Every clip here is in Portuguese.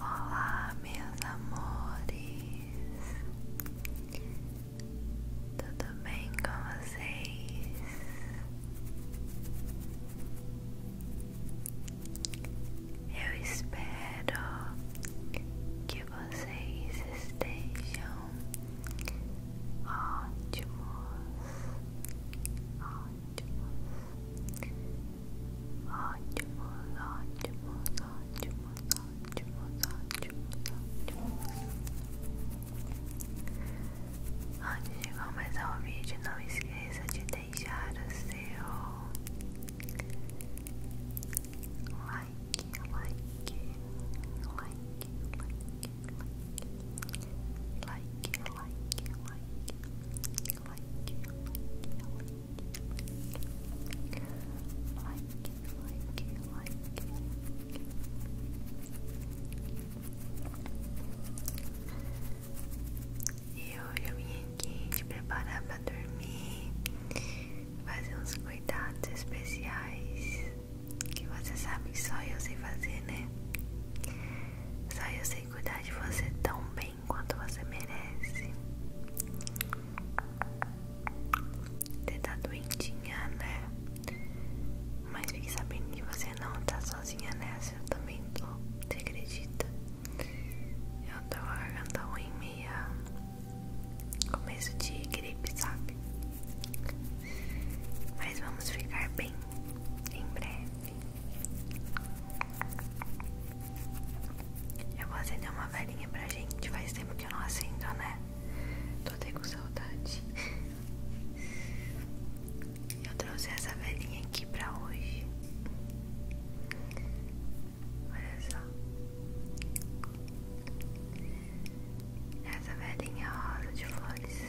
Olá, meus amores, tudo bem com vocês? Eu espero que vocês estejam ótimos, Ótimos, ótimos, ótimos, ótimos, ótimos, Antes de começar o vídeo, não esqueça de deixar o seu like, like, like, like, like, like, like, like, like. like, like, like. E hoje eu vim aqui te preparar pra dormir, fazer uns cuidados especiais que você sabe só eu sei fazer, né? Só eu sei cuidar de você tão bem enquanto você merece. Você tá doentinha, né? Mas fique sabendo que você não tá sozinha nessa. Eu também tô. Você acredita? Eu tô com a garganta ruim, meia. Começo de gripe, sabe? Mas vamos ficar bem em breve. Eu vou acender uma velhinha pra gente. Faz tempo que eu não acendo, né? Tô até com saudade. Eu trouxe essa velhinha aqui pra hoje. Olha só. Essa velhinha rosa de flores.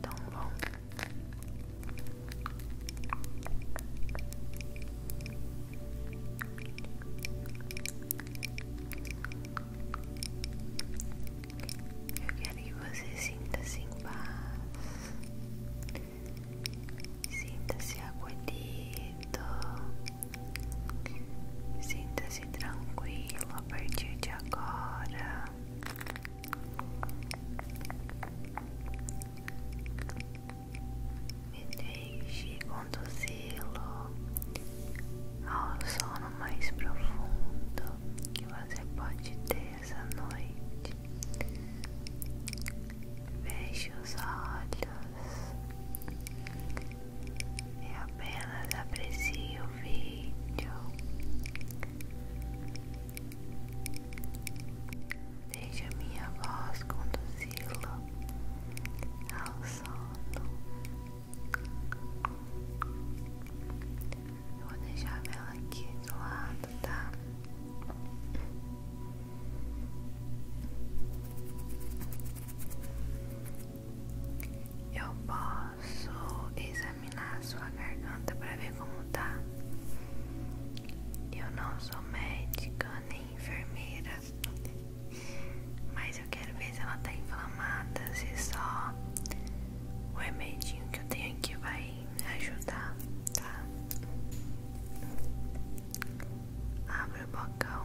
tão bom. Eu quero que você sinta-se assim em paz, sinta-se acolhido, sinta-se tranquilo a partir de agora. Me deixe conduzi-lo ao sono mais profundo que você pode ter essa noite. Veja os olhos e apenas aprecie o vídeo Veja minha voz conduzi la ao sono. vou deixar ela aqui do lado, tá? Eu posso posso examinar a sua garganta para ver como tá. Eu não sou médica nem enfermeira, mas eu quero ver se ela tá inflamada, se só o remedinho que eu tenho aqui vai ajudar, tá? Abre o bocão.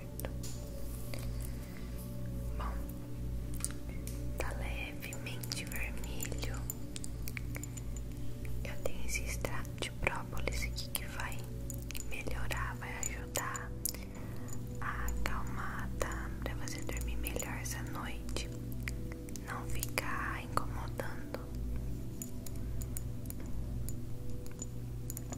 quarto. Bom, tá levemente vermelho. Eu tenho esse extrato de própolis aqui que vai melhorar, vai ajudar a acalmar, tá? Pra você dormir melhor essa noite. Não ficar incomodando.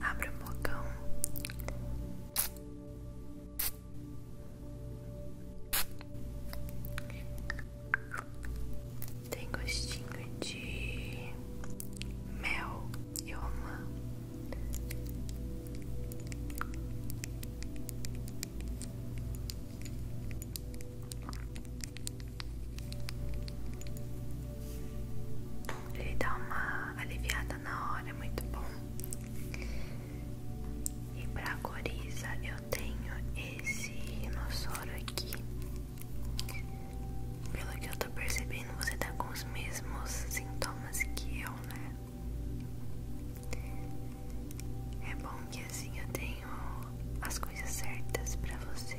Abre o bocão. Tem gostinho de mel e romã. Ele dá uma aliviada na hora, é muito bom. E pra coriza eu tenho esse rinossoro aqui. Pelo que eu tô percebendo, você tá com os mesmos sintomas que eu, né? É bom que assim eu tenho as coisas certas para você.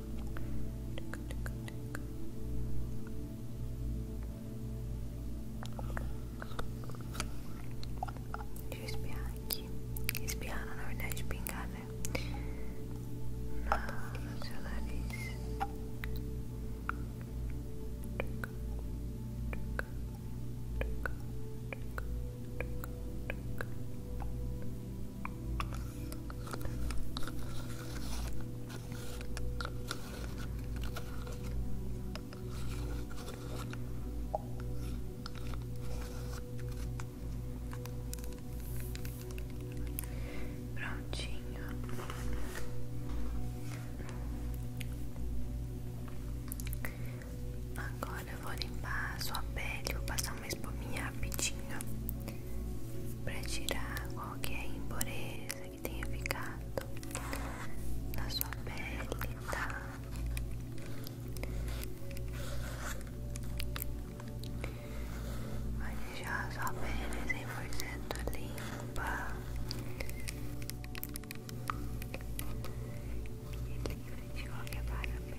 Deixa eu espiar aqui. Espiar, na verdade, pingar, né? Na, no seu nariz. Muito Prontinho. Agora eu vou limpar a sua pele, vou passar passar uma espuminha rapidinho para tirar qualquer impureza que tenha ficado na sua pele, tá? olha já a sua pele 100% limpa e livre de qualquer parabéns.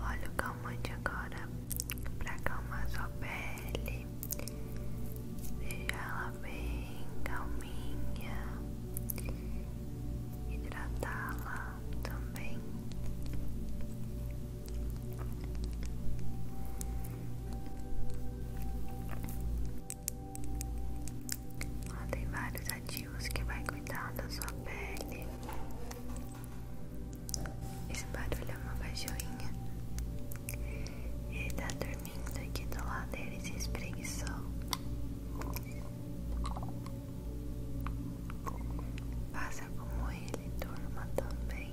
Olha o calmante agora para acalmar sua pele, deixar ela bem calminha, hidratá-la também. Ela tem vários ativos que vai cuidar da sua pele. Esse barulho é uma cachorrinha. Ele tá dormindo aqui do lado dele se espreguiçou. Faça como ele, durma também.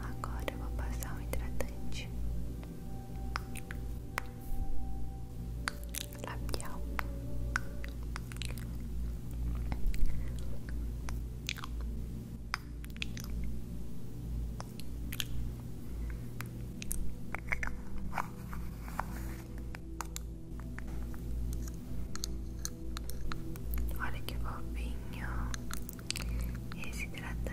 Agora eu vou passar o hidratante labial. Olha que fofinho esse hidratante.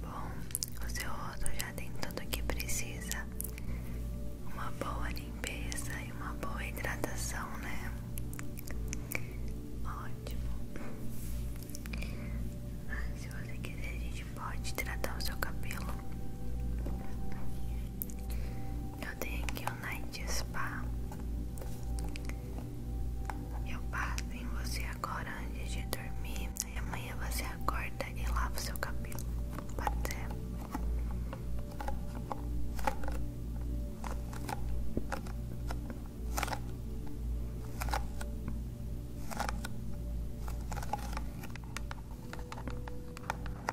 Bom, o seu rosto já tem tudo o que precisa. Uma boa limpeza e uma boa hidratação, né? Ótimo. Ah, se você quiser, a gente pode hidratar o seu cabelo. Eu tenho aqui o um Night Spa. Eu passo em você agora antes de dormir. E amanhã você acorda e lava o seu cabelo. Pode ser?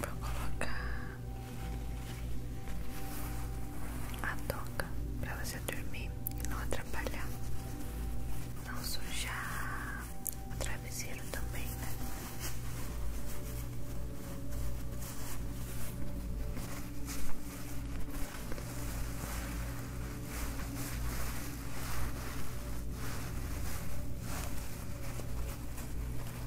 Vou colocar a toca para você dormir e não atrapalhar, não sujar o travesseiro também, né?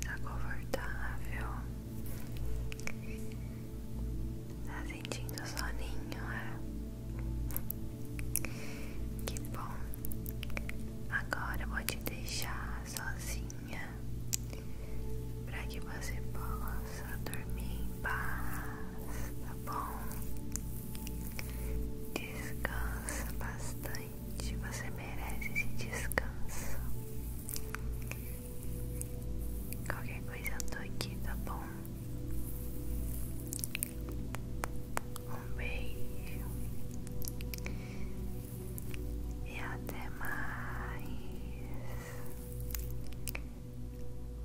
Tá confortável? Tá sentindo soninho, é? Que bom! Agora eu vou te deixar sozinha para que você possa dormir em paz, tá bom? Descansa bastante bastante. Você merece esse descanso. Qualquer coisa eu tô aqui, tá bom? Um beijo e até mais.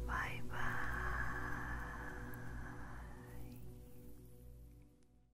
Bye bye.